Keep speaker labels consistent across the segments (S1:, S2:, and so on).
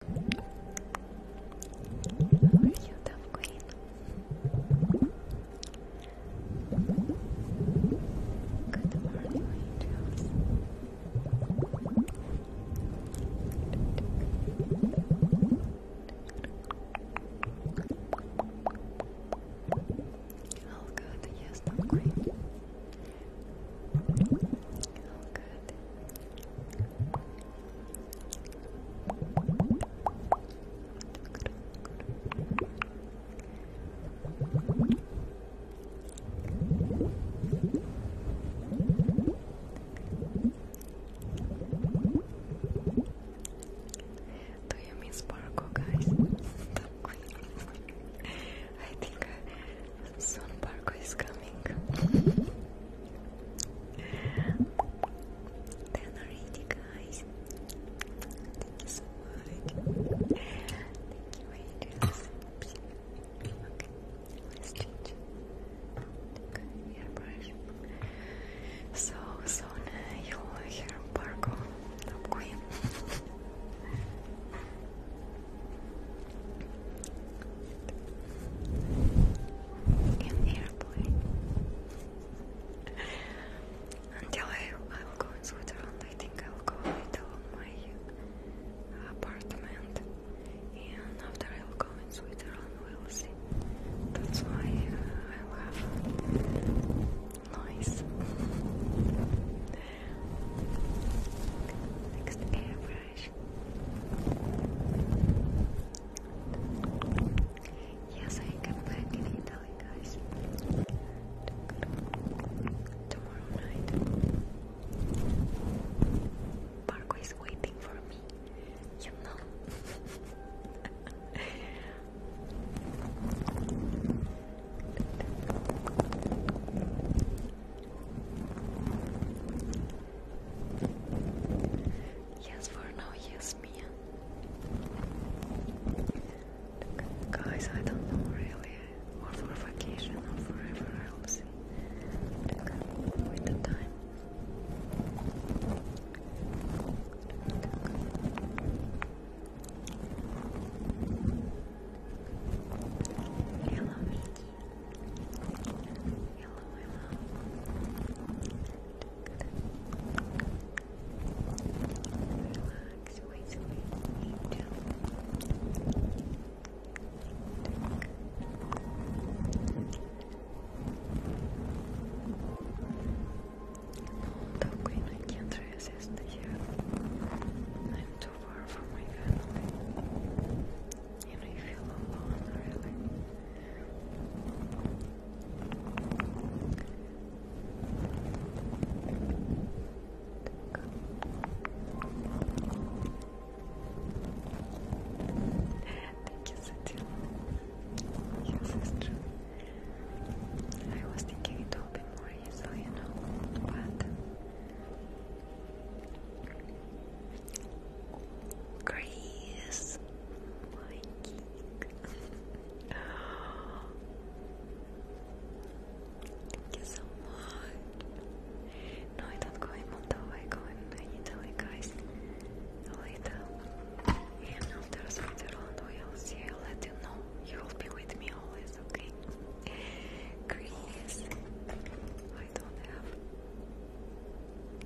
S1: How are you, Dove Queen? Good morning, angels. All good, yes, Dove Queen. All good. Do you mean sparkle, guys? I think uh, Soon Parco is coming. Ten already, guys. Thank you so much. Thank you, angels. Okay, let's change. Take hairbrush. So soon you'll hear Parco, queen in the airplane. Until I, I will go in Switzerland, I think I will go to my apartment, and after I will go in Switzerland, we will see. That's why I will noise. Next airplane. Yes, I come back in Italy, guys. Tomorrow night. Marco is waiting for me. You know. Yes, for now, yes, Mia. guys, I don't know really, or for vacation or forever, I'll see. with the time. Look, Relax, wait, wait, down. Hold I can't resist here. I'm too far from my family. Thank you, Satya. Yes, it's true. I was thinking it will be more easily, you know, but Grace, Thank you so much. No, I don't go in Moldova, I go in Italy, guys. Later. And after Switzerland, we'll see. let you know. You will be with me always, okay? Chris, I don't have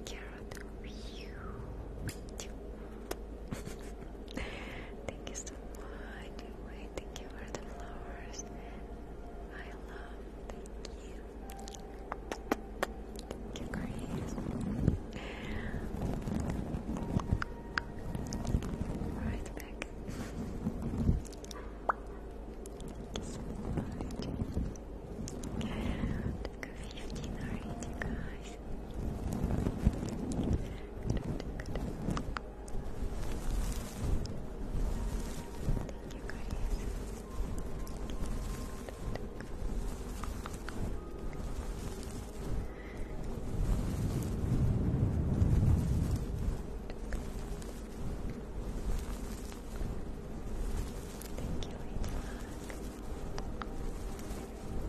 S1: carrot. thank you so much. thank you for the flowers. I love. Thank you. Thank you, Right back. so much took 15 already, guys. Thank you, guys.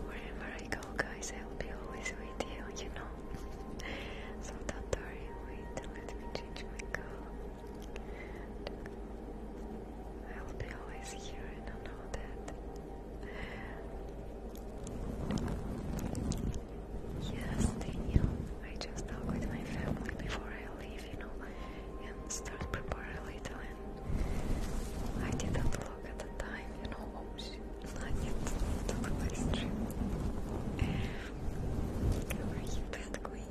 S1: Wherever I go, guys, I will be always with you, you know. so don't worry, wait, let me change my color. I will be always here, and know that. Yes, Daniel. I just talk with my family before I leave, you know and start preparing a little I didn't look at the time, you know, oh shit, not yet to the live stream. Where you queen?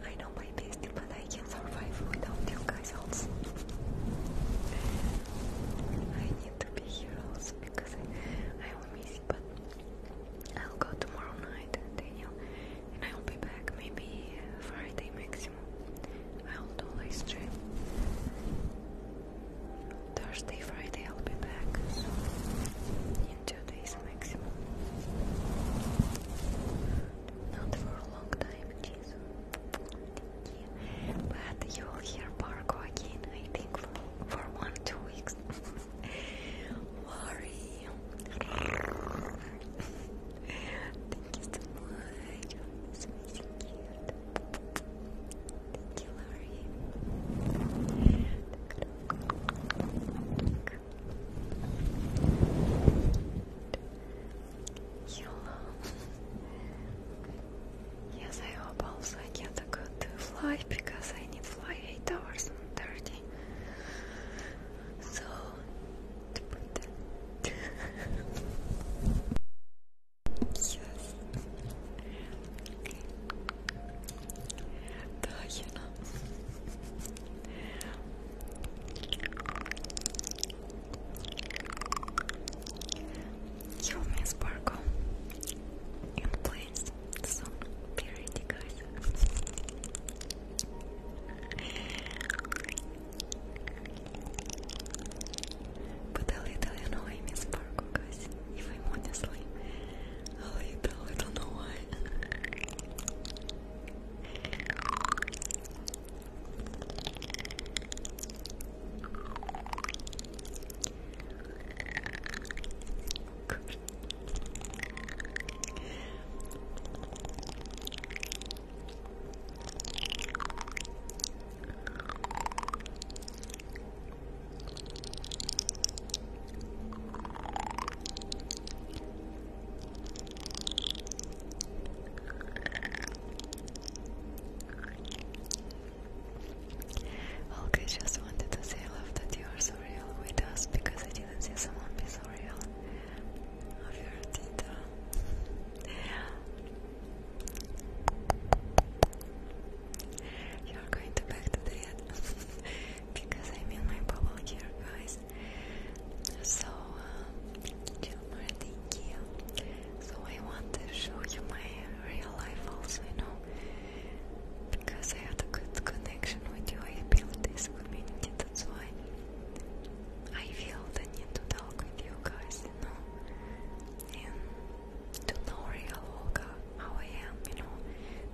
S1: I know my best, but I can survive without you guys also. I need to be here also because I, I will miss you, but I'll go tomorrow night, Daniel, and I'll be back maybe Friday, next I'll do live stream. Thursday, Friday I'll be back. So in two days maximum. Not for a long time, jeez. But you will hear Barco again, I think, for, one, two weeks. Worry. Thank you so much. It's amazing. Thank you, Larry. Yolo. Yes, I hope also I get a good flight because I need to fly 8 hours and 30. So, Yes. Okay. The hyena. Sparkle. please, some purity, guys. But a little annoying is Fargo, guys, if I'm honestly. A little, I don't know why. Okay, just wanted to say I love that you are so real with us because I didn't see someone be so real of your you're going to back to the end because I'm in my bubble here, guys. So, Gilmar, uh, thank So, I want to show you my real life also, you know, because I have a good connection with you. I built this community, that's why I feel the need to talk with you guys, you know and to know real Olga how I am, you know,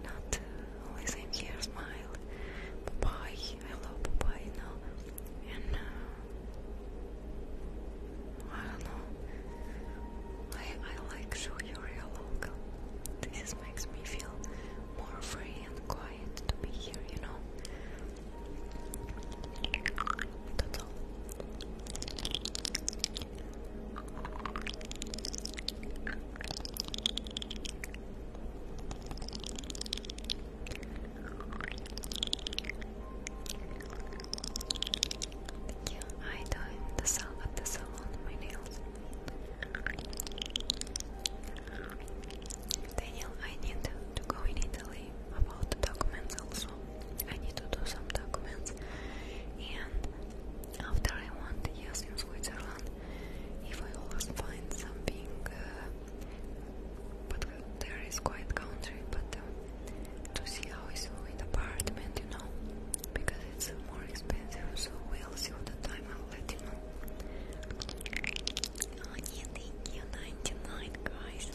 S1: not uh, always here, smile, bye, I love bye, you know, and uh, I don't know, I, I like show you real Olga. This makes me feel more free and quiet to be here, you know. That's Thank you. I do it the salon the salon my nails. Daniel, I need to go in Italy about documents also. I need to do some documents and after I want the years in Switzerland, if I always find something, uh, but there is quite country, but uh, to see how is with apartment, you know, because it's more expensive, so we'll see all the time, I'll let you know. I need the 99 guys.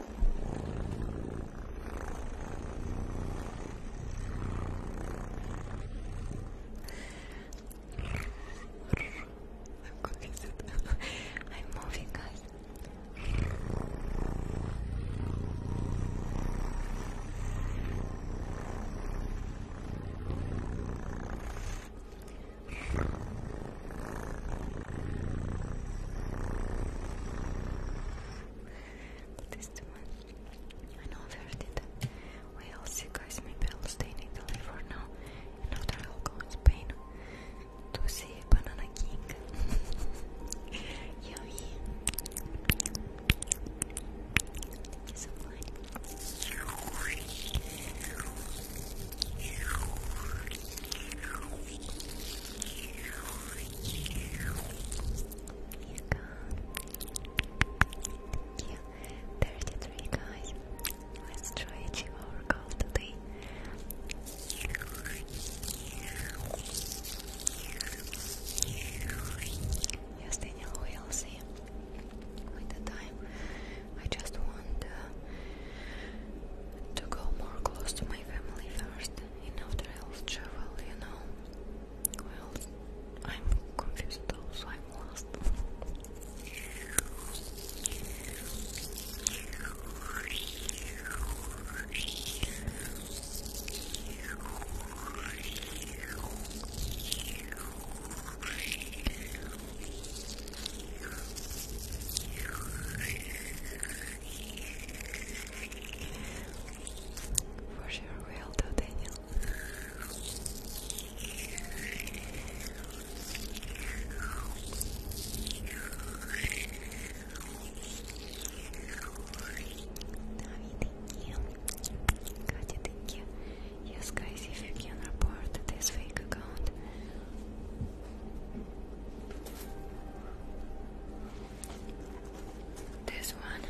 S1: I'm confused. I'm moving, guys. That is the I know where did that. Well, see guys, maybe I'll in Italy for now. And after I'll Spain to see Banana King. Yummy. Yeah, 33 guys. Let's try achieve our goal today. Yes, Daniel, we'll see. With the time, I just want uh, to go more close to my family first enough that i travel, you know. Well, I'm confused though, so I'm lost. For sure, will do Daniel. Navi, thank you. Katya, thank Yes, guys, if you can report this fake account this one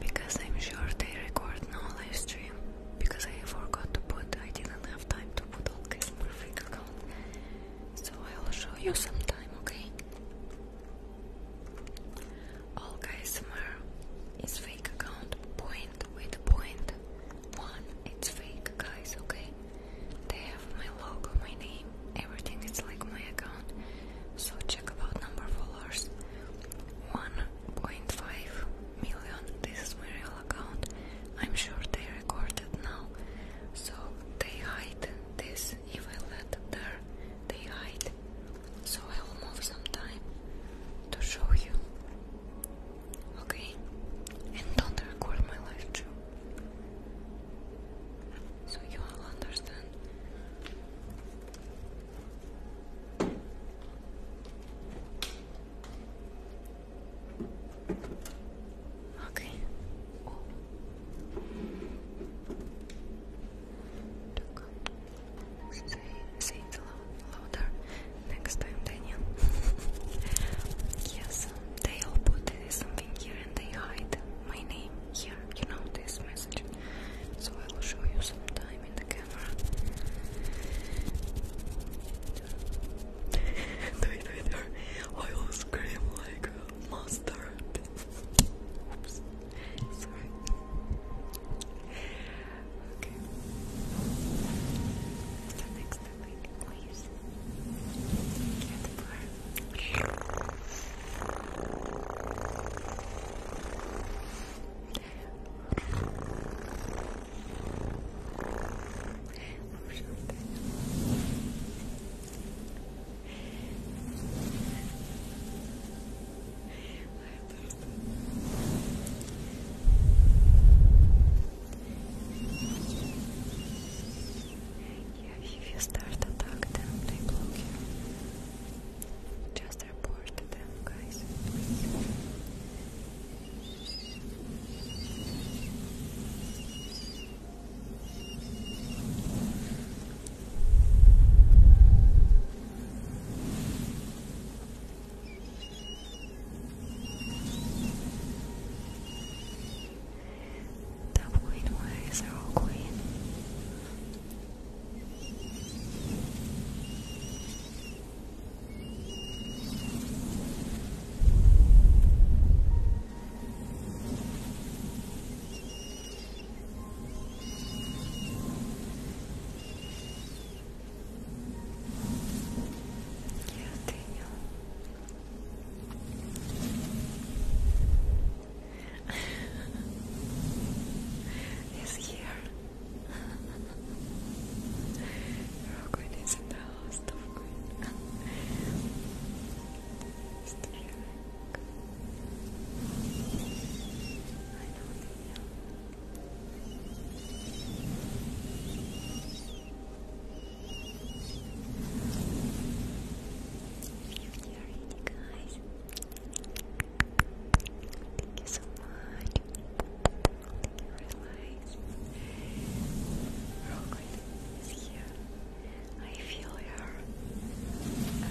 S1: because I'm sure they record no live stream because I forgot to put I didn't have time to put all this perfect account so I'll show you sometime okay all guys is fake account point with point one it's fake guys okay they have my logo, my name, everything. It's like my account. So check about number followers. 1.5 million. This is my real account. I'm sure they recorded now. So they hide this. If I there, they hide. So I will move some time to show you. Okay? And don't record my live too so you all understand. Okay. Oh. Say, louder next time, Daniel. yes, they all put something here and I hide my name here, you know, this message. So I will show you sometime in the camera. I will scream like a monster. Oops. Okay. The next please. Here at the bar. I yeah, if you start to attack them, they block you. Just report to them, guys. The point where is our queen? Yes, Daniel this year. Rogan is in the house of ready, guys. Thank you so much. Relax. Rock is here. I feel her. How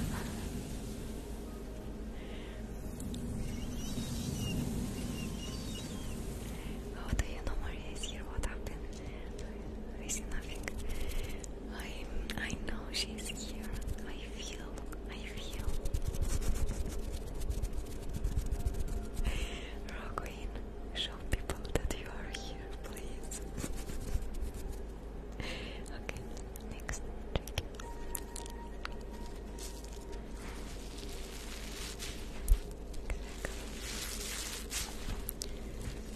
S1: do you know Maria is here? What happened? I see nothing. I I know she's here. I feel. I feel. Roguin, show people that you are here, please. okay, next. Exactly.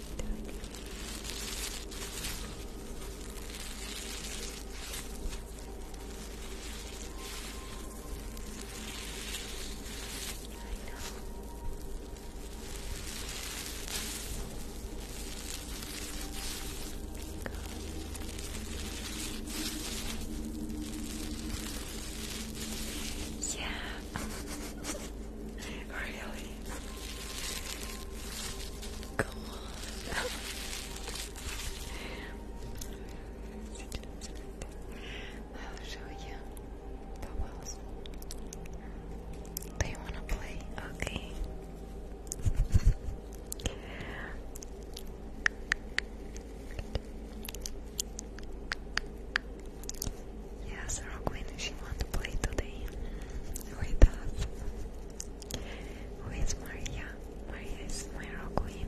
S1: doing. I Yeah. really? Come on. I'll show you the wanna play? Okay. Yes, Roquin, she wants to play today with us. Who is Maria? Maria my Roquin.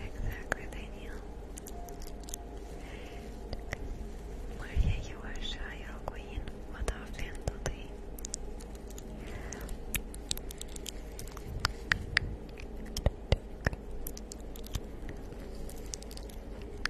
S1: Exactly, Daniel. Maria, you are shy or queen. What often do they?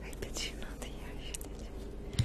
S1: I did you know the uh,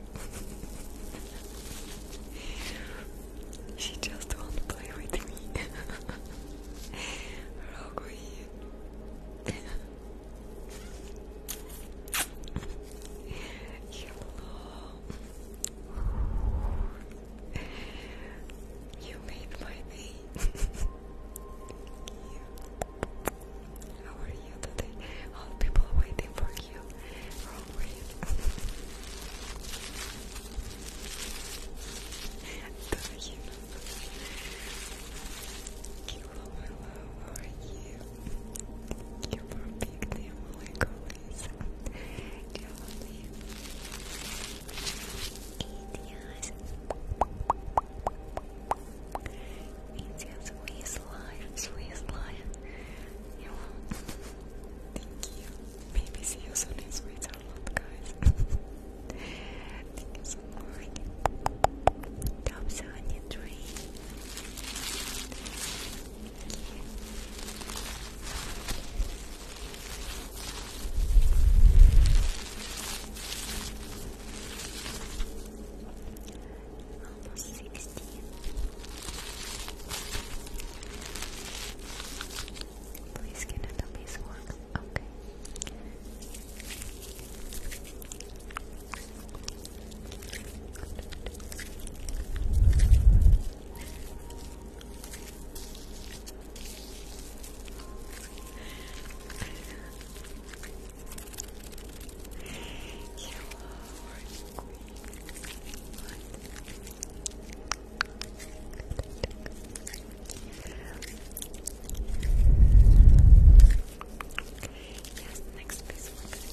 S1: she just wants to play with me. Rogui. Hello. You made my day. you. How are All people waiting for thank you for all brave. thank you. Thank you love, are you? you for being there, like always. You love me. India's, India's Swiss life, Swiss life. You Thank you. Maybe see you soon in Switzerland, guys. Thank you so much. Top 73. Almost 60. Christine. Please get a tummy's work. Okay. You Yes, next piece we're going to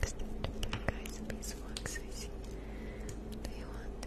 S1: Thanks, Guys, peaceful exercise. do you want?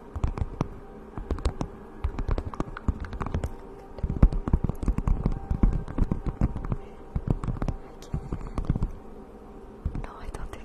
S1: can't. No, I don't think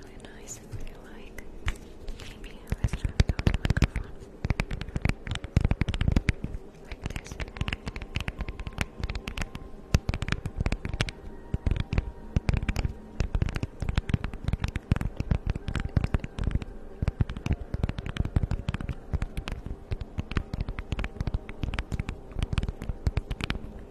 S1: really nice and like. Maybe let's try without Like this.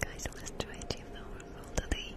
S1: Guys, let's try to achieve our goal today.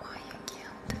S1: Why you can't?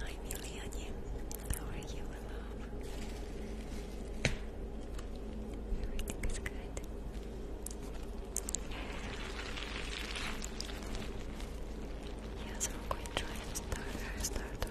S1: Hi Miliania, how are you, my love? Everything is good. Yeah, so we going to try and start our starter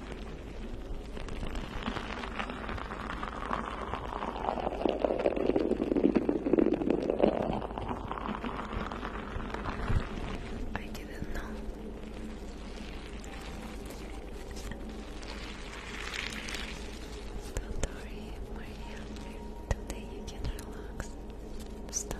S1: I didn't know. Don't worry, Maria. Today you can relax. Stop.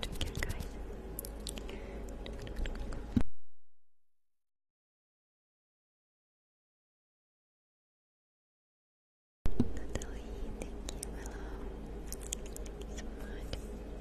S1: Take care, guys. Natalie, thank you, Thank you so much.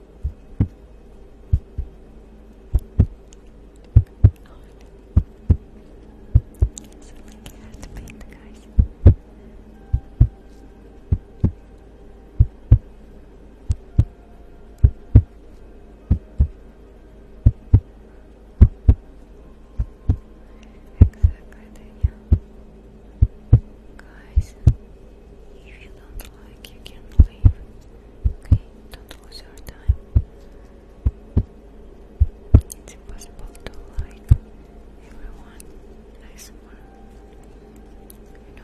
S1: It's like you have to paint, guys. Guys, if you don't like you can leave. don't lose your time. It's impossible to like everyone I swear. You know.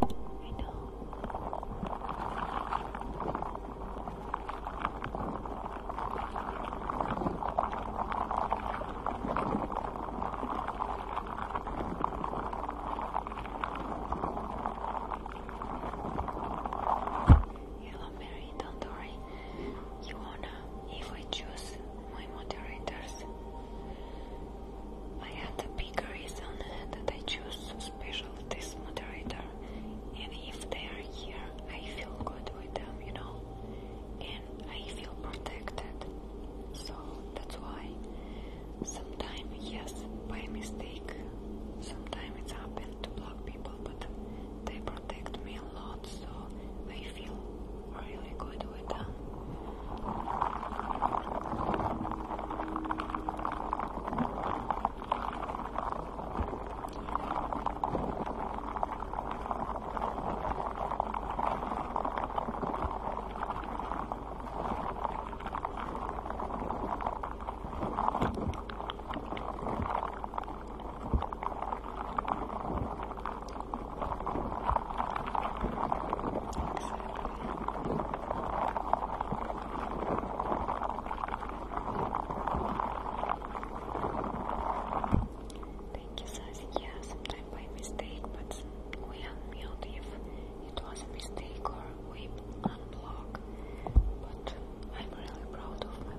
S1: I know. Hello, Mary. Don't worry. Iona, if I choose my moderators. I have a big reason that I choose special this moderator, and if they are here, I feel good with them, you know, and I feel protected. So that's why sometimes, yes, by mistake, sometimes it's happened to block people, but they protect me a lot, so I feel really good with them. Thank you, Sassy. Yeah, sometimes by mistake, but we unmute if it was a mistake or we unblock. But I'm really proud of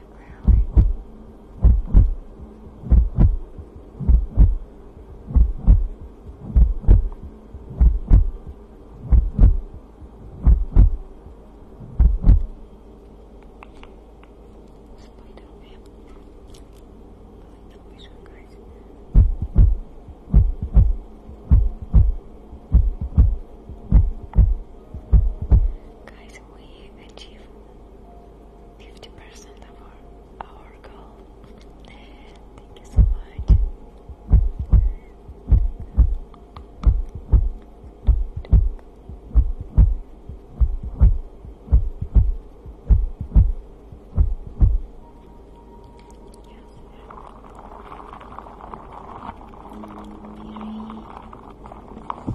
S1: temporarily. Just Guys, we achieved fifty percent of our goal. Thank you so much. Yes. Morning. Thank you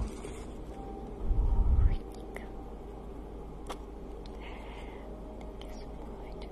S1: so much. Thank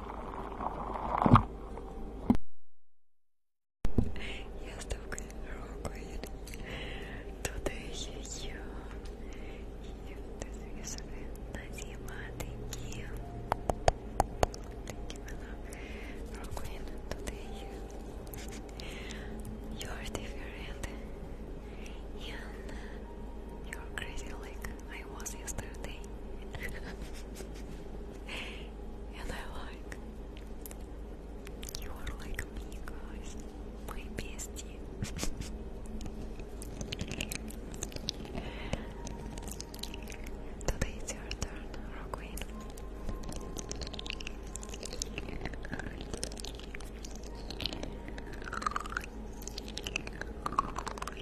S1: Yes, the great Today you, you, this is Nazima, thank you. Thank love. you, you are different you're crazy like I was yesterday. and I like you are like me my bestie. Today it's your turn, Roguin.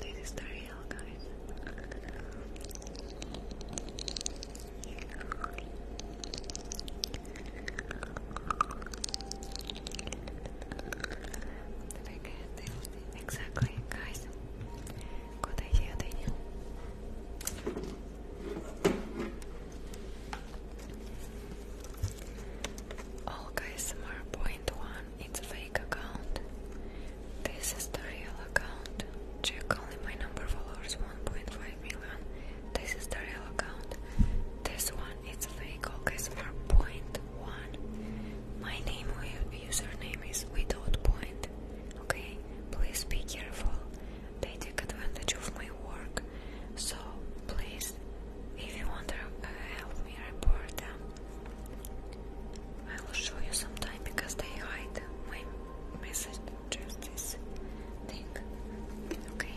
S1: This is the real guys. Exactly, guys. Good idea, Daniel. Olga SMR point one, it's a fake account. This is the real account. Check only my number followers 1.5 million. This is the real account. This one it's a fake Olga SMR point one. My name username is without point. Okay, please be careful. They take advantage of my work, so please if you want to uh, help me report them, I will show you sometime because they hide my message just this Okay.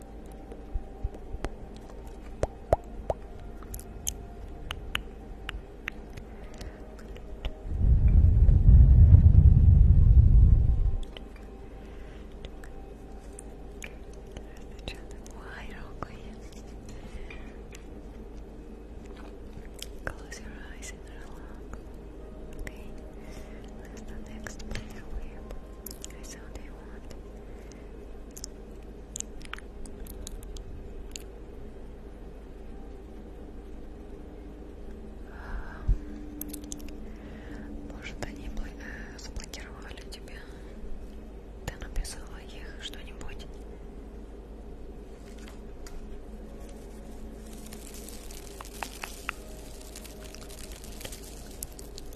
S1: Wide open. Close your eyes and relax. the next player we have. I saw Может, они э, заблокировали тебя? Ты написала их что-нибудь?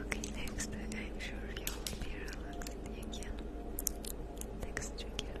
S1: okay, next I'm sure you will be relaxed again. Next trigger.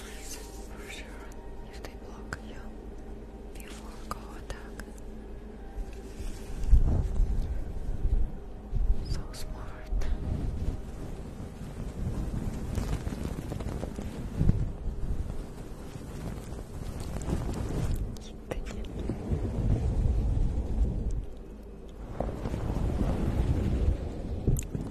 S1: for sure if they block you before go attack. So smart.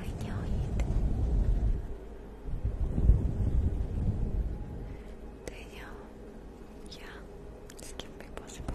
S1: I know it. They know. Yeah, this can be possible.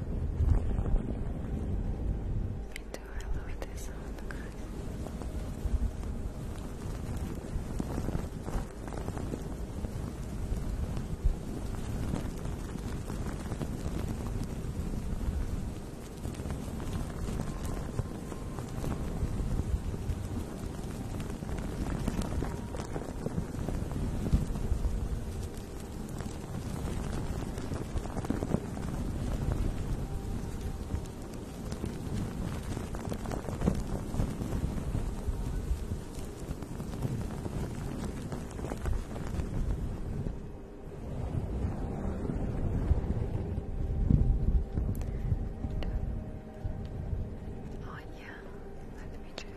S1: do I love this sound, Oh yeah, let me check.